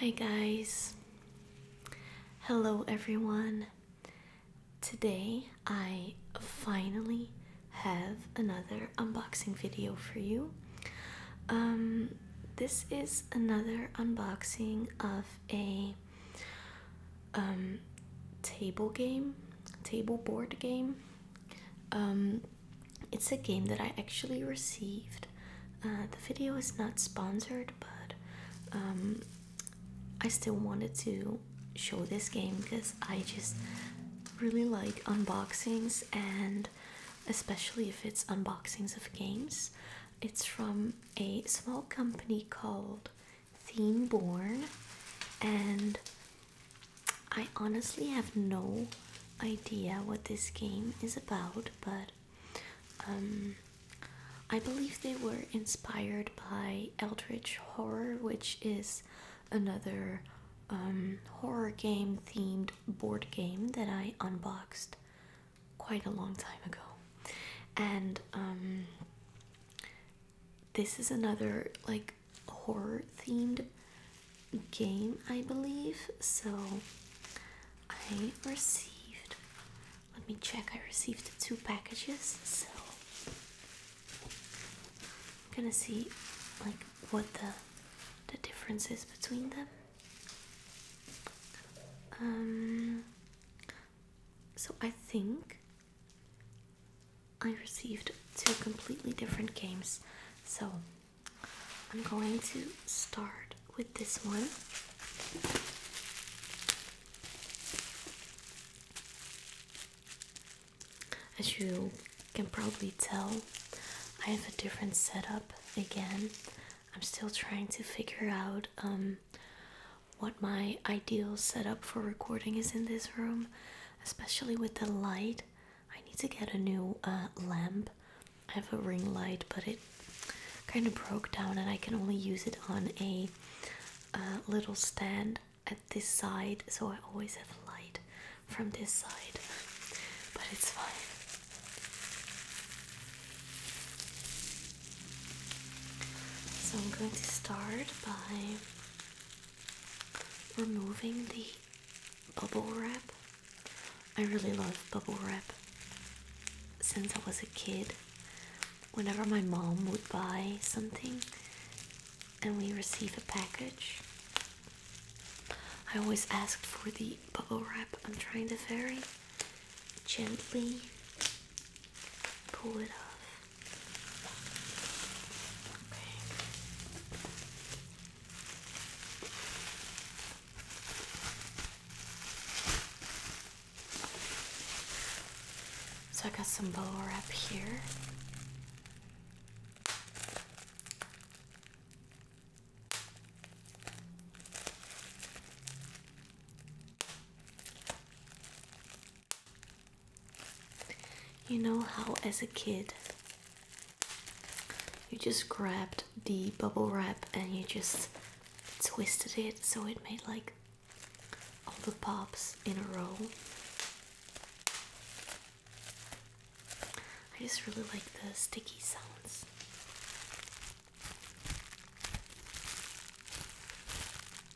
Hi, guys. Hello, everyone. Today, I finally have another unboxing video for you. Um, this is another unboxing of a um, table game, table board game. Um, it's a game that I actually received. Uh, the video is not sponsored, but um, I still wanted to show this game because I just really like unboxings and especially if it's unboxings of games. It's from a small company called theme born and I honestly have no idea what this game is about but um, I believe they were inspired by Eldritch Horror which is another um, horror game themed board game that I unboxed quite a long time ago and um, this is another like horror themed game, I believe. So I received, let me check, I received two packages. So I'm gonna see like what the the difference is between them. Um so I think I received two completely different games, so I'm going to start with this one. As you can probably tell, I have a different setup again. I'm still trying to figure out um, what my ideal setup for recording is in this room, especially with the light. I need to get a new uh, lamp. I have a ring light, but it kind of broke down, and I can only use it on a uh, little stand at this side, so I always have light from this side, but it's fine. So I'm going to start by removing the bubble wrap. I really love bubble wrap since I was a kid. Whenever my mom would buy something and we receive a package, I always asked for the bubble wrap. I'm trying to very gently pull it off. So I got some bubble wrap here. You know how, as a kid, you just grabbed the bubble wrap and you just twisted it so it made like all the pops in a row. I just really like the sticky sounds.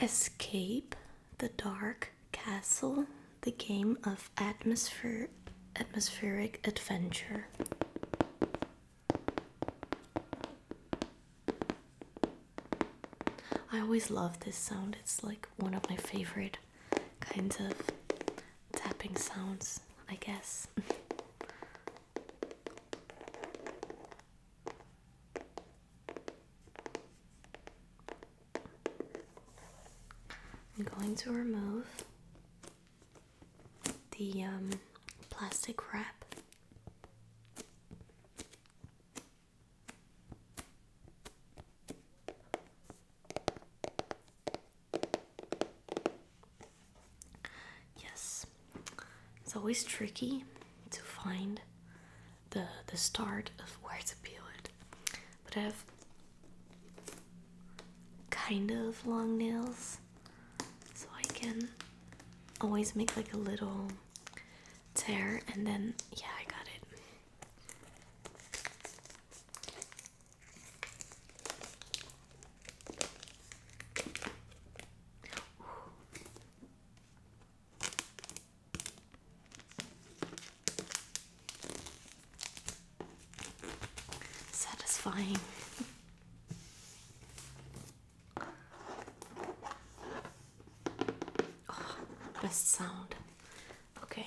Escape the Dark Castle, the game of atmosphere atmospheric adventure. I always love this sound. It's like one of my favorite kinds of tapping sounds, I guess. I'm going to remove the um, plastic wrap. Yes, it's always tricky to find the the start of where to peel it, but I have kind of long nails, so I can always make like a little tear, and then yeah, I got it. Satisfying. Oh, best sound. Okay.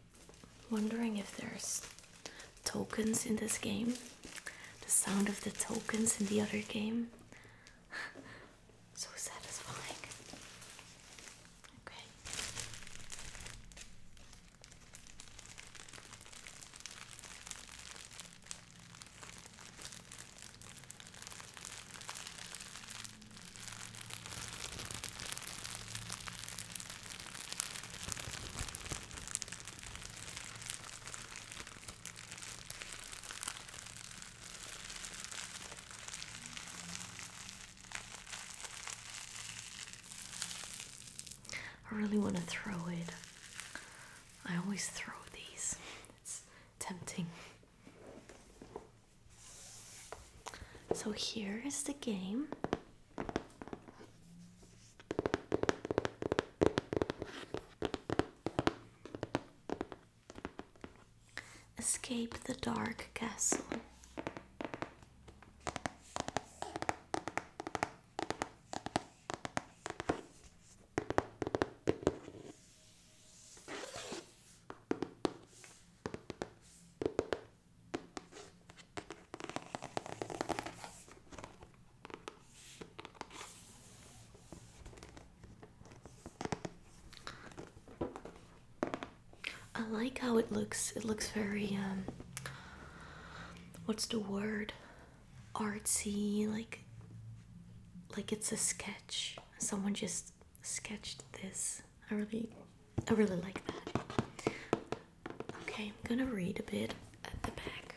wondering if there's tokens in this game. The sound of the tokens in the other game. so satisfying. Okay. I really want to throw it. I always throw these. It's tempting. So here is the game. Escape the dark castle. I like how it looks. It looks very um what's the word? artsy like like it's a sketch. Someone just sketched this. I really I really like that. Okay, I'm gonna read a bit at the back.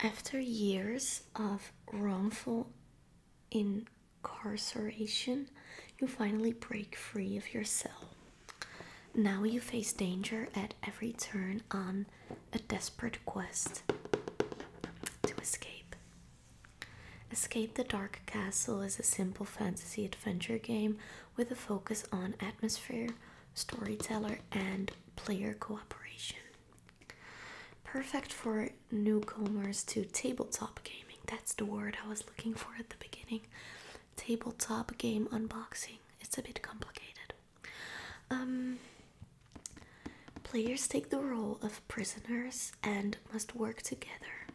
After years of wrongful incarceration, you finally break free of your cell. Now you face danger at every turn on a desperate quest to escape. Escape the Dark Castle is a simple fantasy adventure game with a focus on atmosphere, storyteller, and player cooperation. Perfect for newcomers to tabletop gaming. That's the word I was looking for at the beginning. Tabletop game unboxing. It's a bit complicated. Um, players take the role of prisoners and must work together,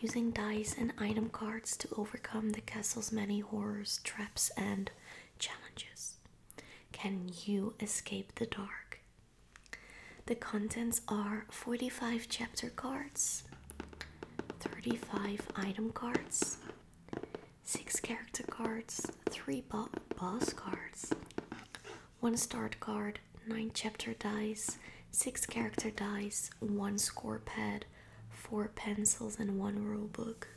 using dice and item cards to overcome the castle's many horrors, traps, and challenges. Can you escape the dark? The contents are 45 chapter cards, 35 item cards, 6 character cards, 3 boss cards, 1 start card, 9 chapter dice, 6 character dice, 1 score pad, 4 pencils, and 1 rule book.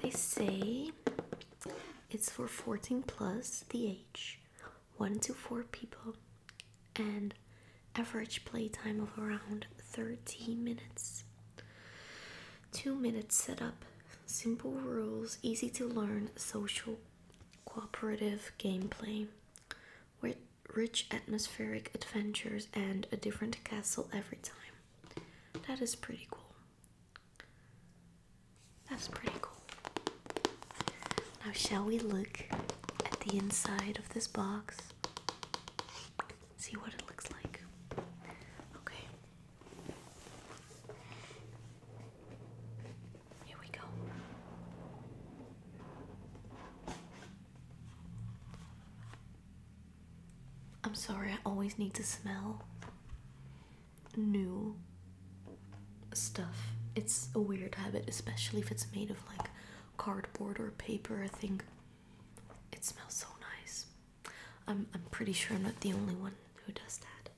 They say it's for 14 plus the age, 1 to 4 people, and average play time of around 13 minutes. 2 minutes setup, simple rules, easy to learn, social cooperative gameplay with rich atmospheric adventures and a different castle every time. That is pretty cool. That's pretty cool. Now, shall we look at the inside of this box? See what it looks like. Okay. Here we go. I'm sorry, I always need to smell new stuff. It's a weird habit, especially if it's made of like cardboard or paper. I think it smells so nice. I'm, I'm pretty sure I'm not the only one who does that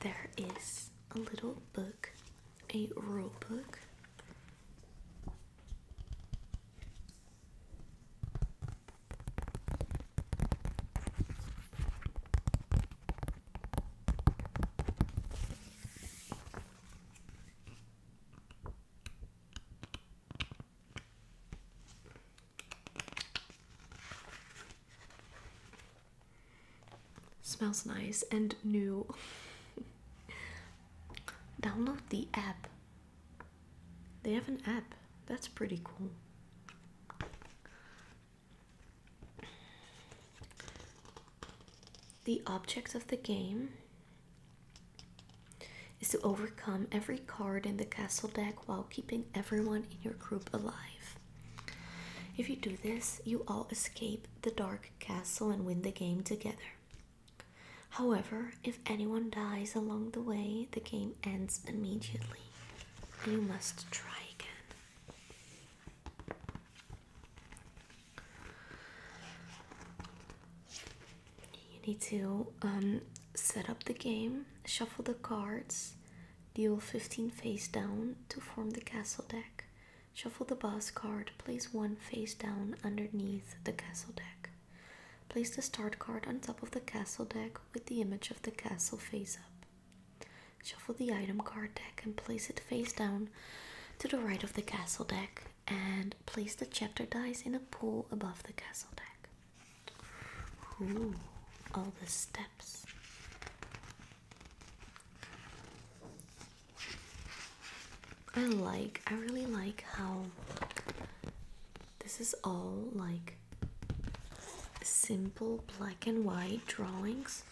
there is a little book, a rule book. Smells nice and new. Download the app. They have an app. That's pretty cool. The object of the game is to overcome every card in the castle deck while keeping everyone in your group alive. If you do this, you all escape the dark castle and win the game together. However, if anyone dies along the way, the game ends immediately. You must try again. You need to um, set up the game, shuffle the cards, Deal 15 face down to form the castle deck. Shuffle the boss card, place one face down underneath the castle deck. Place the start card on top of the castle deck with the image of the castle face up. Shuffle the item card deck and place it face down to the right of the castle deck and place the chapter dice in a pool above the castle deck. Ooh, all the steps. I like, I really like how this is all like simple black and white drawings.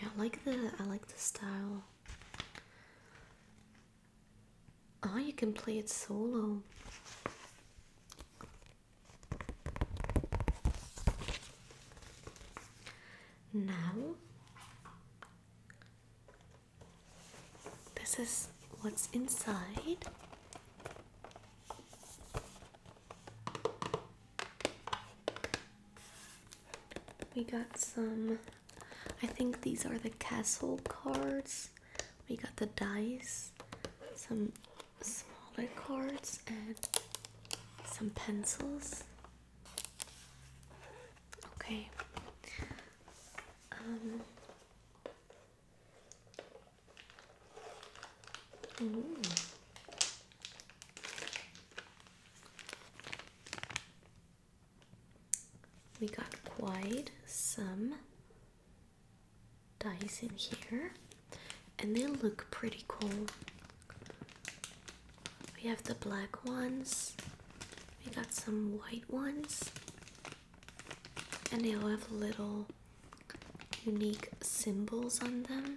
Yeah, I like the I like the style. Oh, you can play it solo. Now, this is what's inside. We got some, I think these are the castle cards. We got the dice, some smaller cards, and some pencils. Okay. Um, mm. We got quite some dice in here, and they look pretty cool. We have the black ones, we got some white ones, and they all have little unique symbols on them.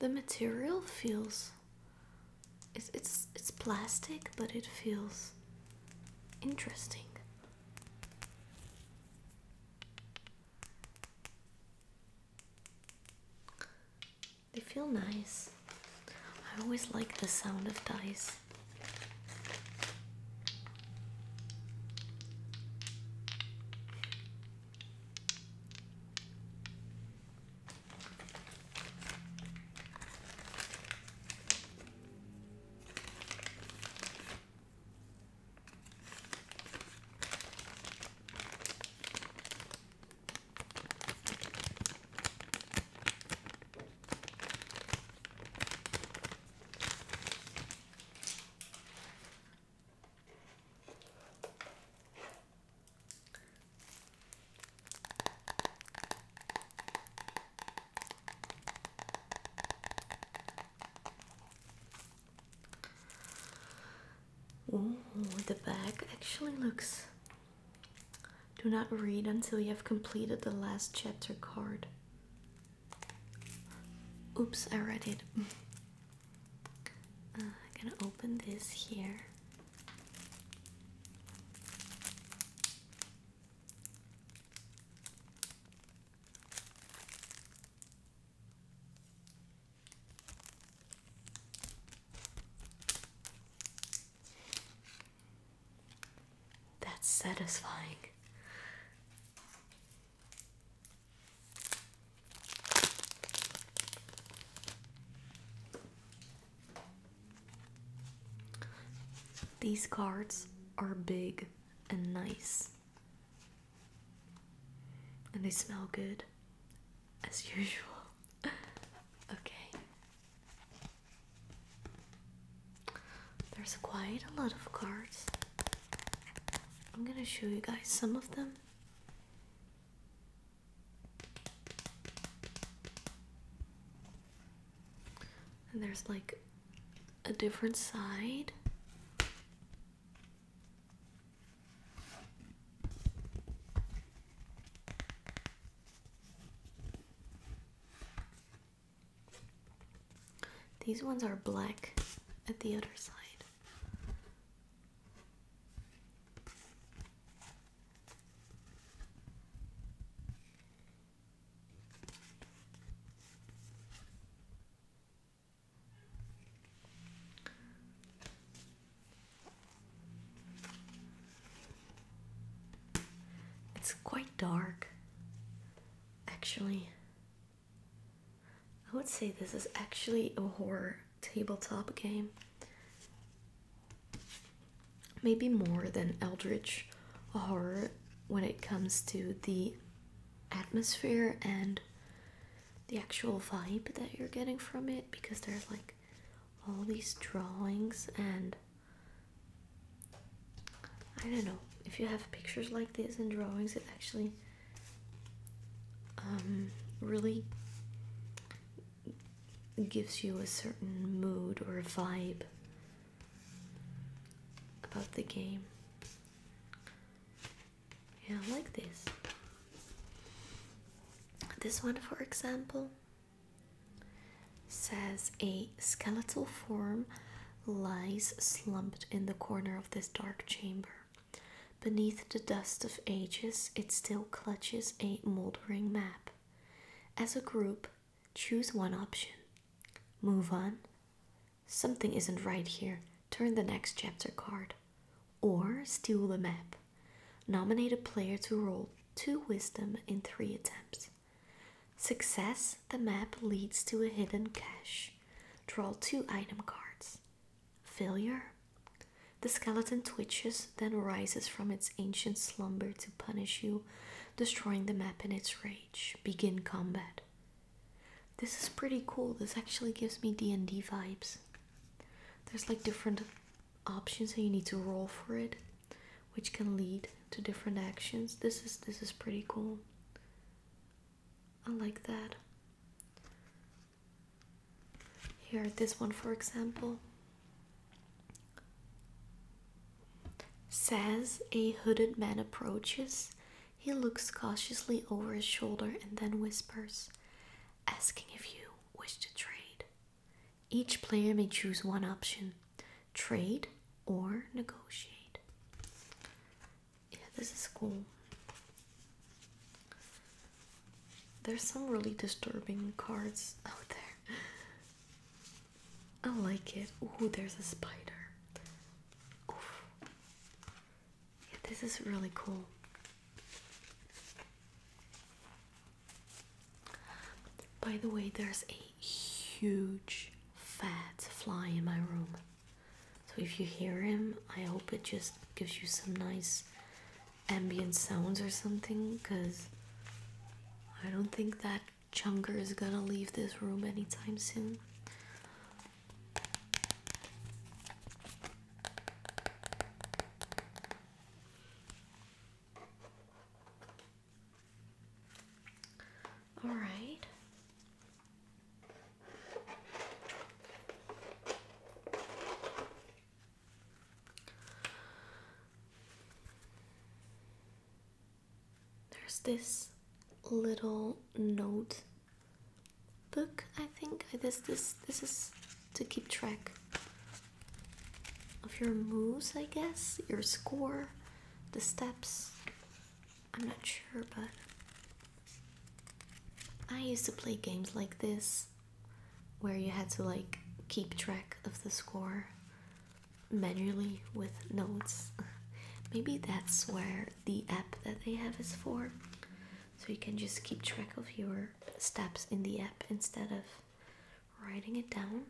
The material feels it's it's it's plastic, but it feels interesting. They feel nice. I always like the sound of dice. Oh, the bag actually looks do not read until you have completed the last chapter card. Oops, I read it. Uh, I'm gonna open this here. That's satisfying. These cards are big and nice, and they smell good as usual. okay. There's quite a lot of cards. I'm gonna show you guys some of them. And there's like a different side. These ones are black at the other side. It's quite dark, actually. I would say this is actually a horror tabletop game. Maybe more than Eldritch horror when it comes to the atmosphere and the actual vibe that you're getting from it because there's like all these drawings and I don't know if you have pictures like this and drawings it actually um, really gives you a certain mood or vibe about the game. Yeah, I like this. This one, for example, Says a skeletal form lies slumped in the corner of this dark chamber. Beneath the dust of ages, it still clutches a moldering map. As a group, choose one option. Move on. Something isn't right here. Turn the next chapter card. Or steal the map. Nominate a player to roll two wisdom in three attempts. Success, the map leads to a hidden cache. Draw two item cards. Failure, the skeleton twitches, then rises from its ancient slumber to punish you, destroying the map in its rage. Begin combat. This is pretty cool. This actually gives me D&D vibes. There's like different options and you need to roll for it which can lead to different actions. This is this is pretty cool. I like that. Here, this one for example. Says a hooded man approaches. He looks cautiously over his shoulder and then whispers, asking if you wish to trade. Each player may choose one option trade or negotiate. Yeah, this is cool. There's some really disturbing cards out there. I like it. Ooh, there's a spider. Yeah, this is really cool. By the way, there's a huge fat fly in my room. So if you hear him, I hope it just gives you some nice ambient sounds or something because I don't think that chunker is gonna leave this room anytime soon. All right. There's this little note book, I think. I This this this is to keep track of your moves, I guess, your score, the steps. I'm not sure, but I used to play games like this where you had to like keep track of the score manually with notes. Maybe that's where the app that they have is for. So you can just keep track of your steps in the app instead of writing it down.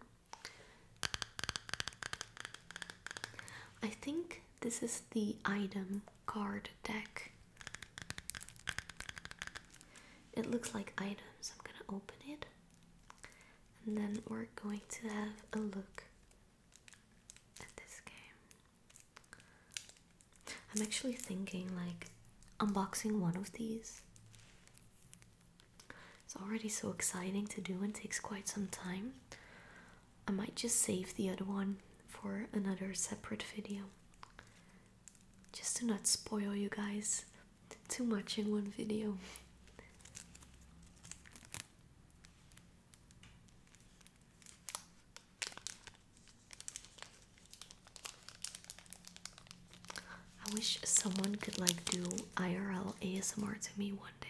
I think this is the item card deck. It looks like items. I'm gonna open it and then we're going to have a look at this game. I'm actually thinking like unboxing one of these it's already so exciting to do and takes quite some time. I might just save the other one for another separate video. Just to not spoil you guys too much in one video. I wish someone could like do IRL ASMR to me one day.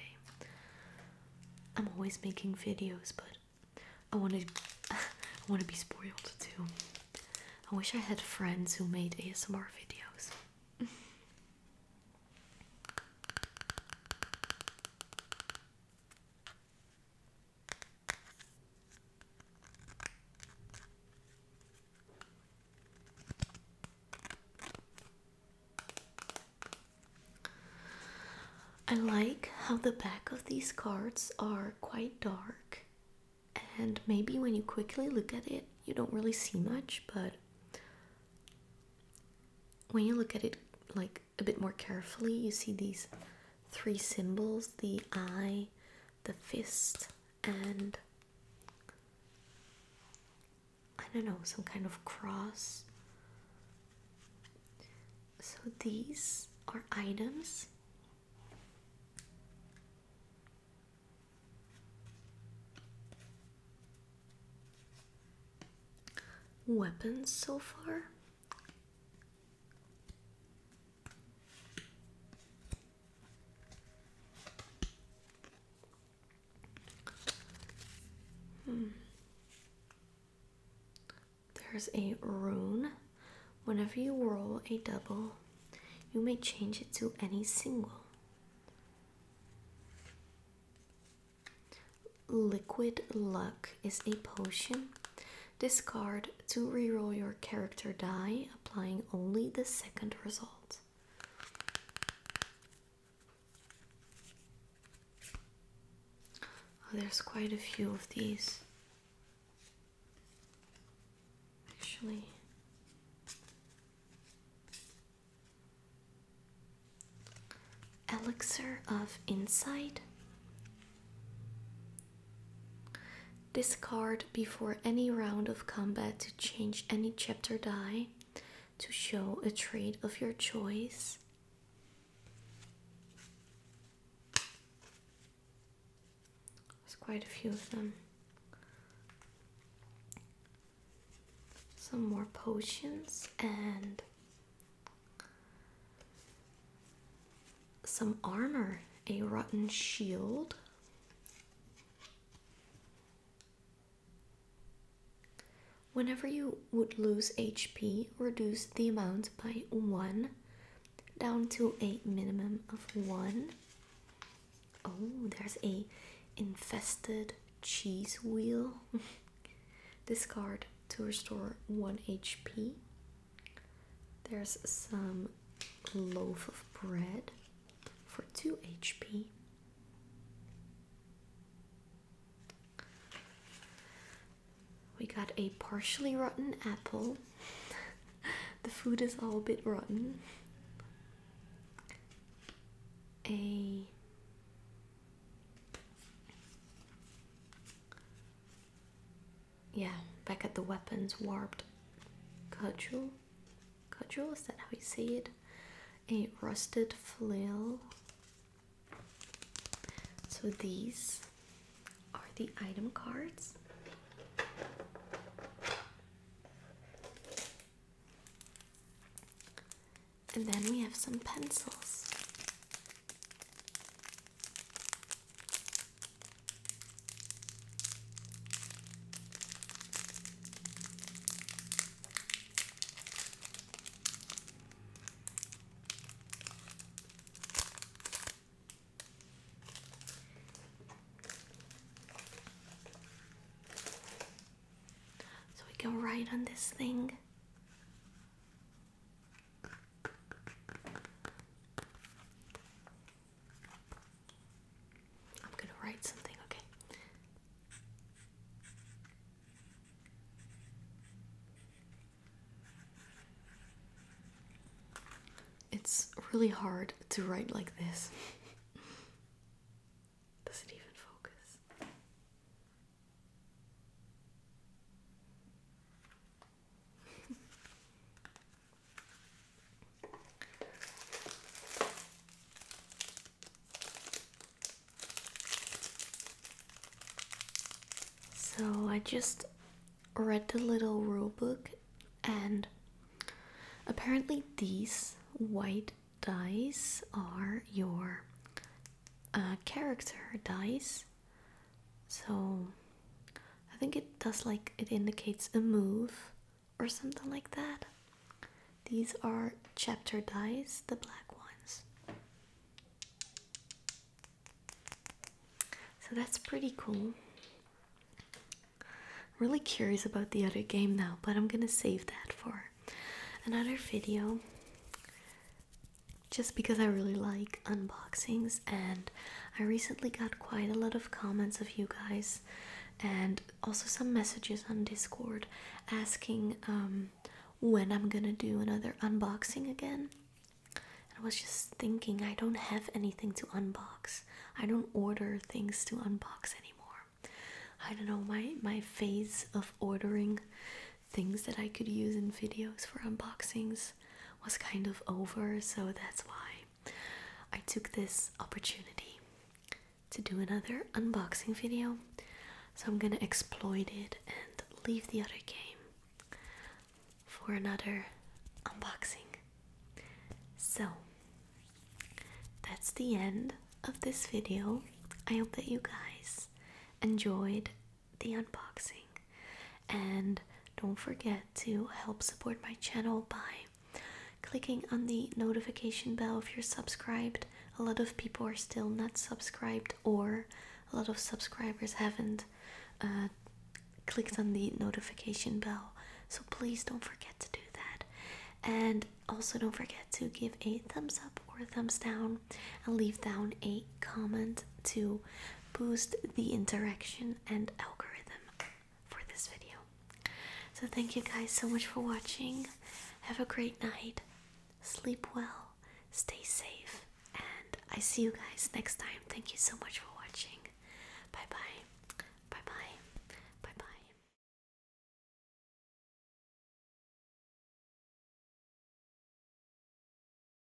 I'm always making videos, but I want to I want to be spoiled too. I wish I had friends who made ASMR videos. I like how the back of these cards are quite dark, and maybe when you quickly look at it, you don't really see much, but when you look at it like a bit more carefully, you see these three symbols the eye, the fist, and I don't know, some kind of cross. So these are items weapons so far Hmm. There's a rune. Whenever you roll a double, you may change it to any single. Liquid Luck is a potion Discard to re-roll your character die, applying only the second result. Oh, there's quite a few of these. Actually, Elixir of Insight, Discard before any round of combat to change any chapter die to show a trait of your choice. There's quite a few of them. Some more potions and some armor, a rotten shield. Whenever you would lose HP, reduce the amount by 1 down to a minimum of 1. Oh, there's a infested cheese wheel. Discard to restore 1 HP. There's some loaf of bread for 2 HP. We got a partially rotten apple. the food is all bit rotten. A yeah, back at the weapons warped cudgel. Cudgel, is that how you say it? A rusted flail. So these are the item cards. And then we have some pencils. So we can write on this thing. I'm going to write something, okay? It's really hard to write like this. Does it even focus? so I just read the little rule book and apparently these white dice are your uh, character dice so I think it does like it indicates a move or something like that. These are chapter dice, the black ones. So that's pretty cool. Really curious about the other game now, but I'm gonna save that for another video just because I really like unboxings, and I recently got quite a lot of comments of you guys, and also some messages on Discord asking um, when I'm gonna do another unboxing again. I was just thinking, I don't have anything to unbox. I don't order things to unbox anymore. I don't know my my phase of ordering things that I could use in videos for unboxings was kind of over, so that's why I took this opportunity to do another unboxing video. So I'm gonna exploit it and leave the other game for another unboxing. So that's the end of this video. I hope that you guys enjoyed the unboxing. And don't forget to help support my channel by clicking on the notification bell if you're subscribed. A lot of people are still not subscribed, or a lot of subscribers haven't uh, clicked on the notification bell. So please don't forget to do that. And also, don't forget to give a thumbs up or a thumbs down and leave down a comment to boost the interaction and algorithm for this video. So, thank you guys so much for watching. Have a great night. Sleep well, stay safe, and I see you guys next time. Thank you so much for watching. Bye bye. Bye bye. Bye bye.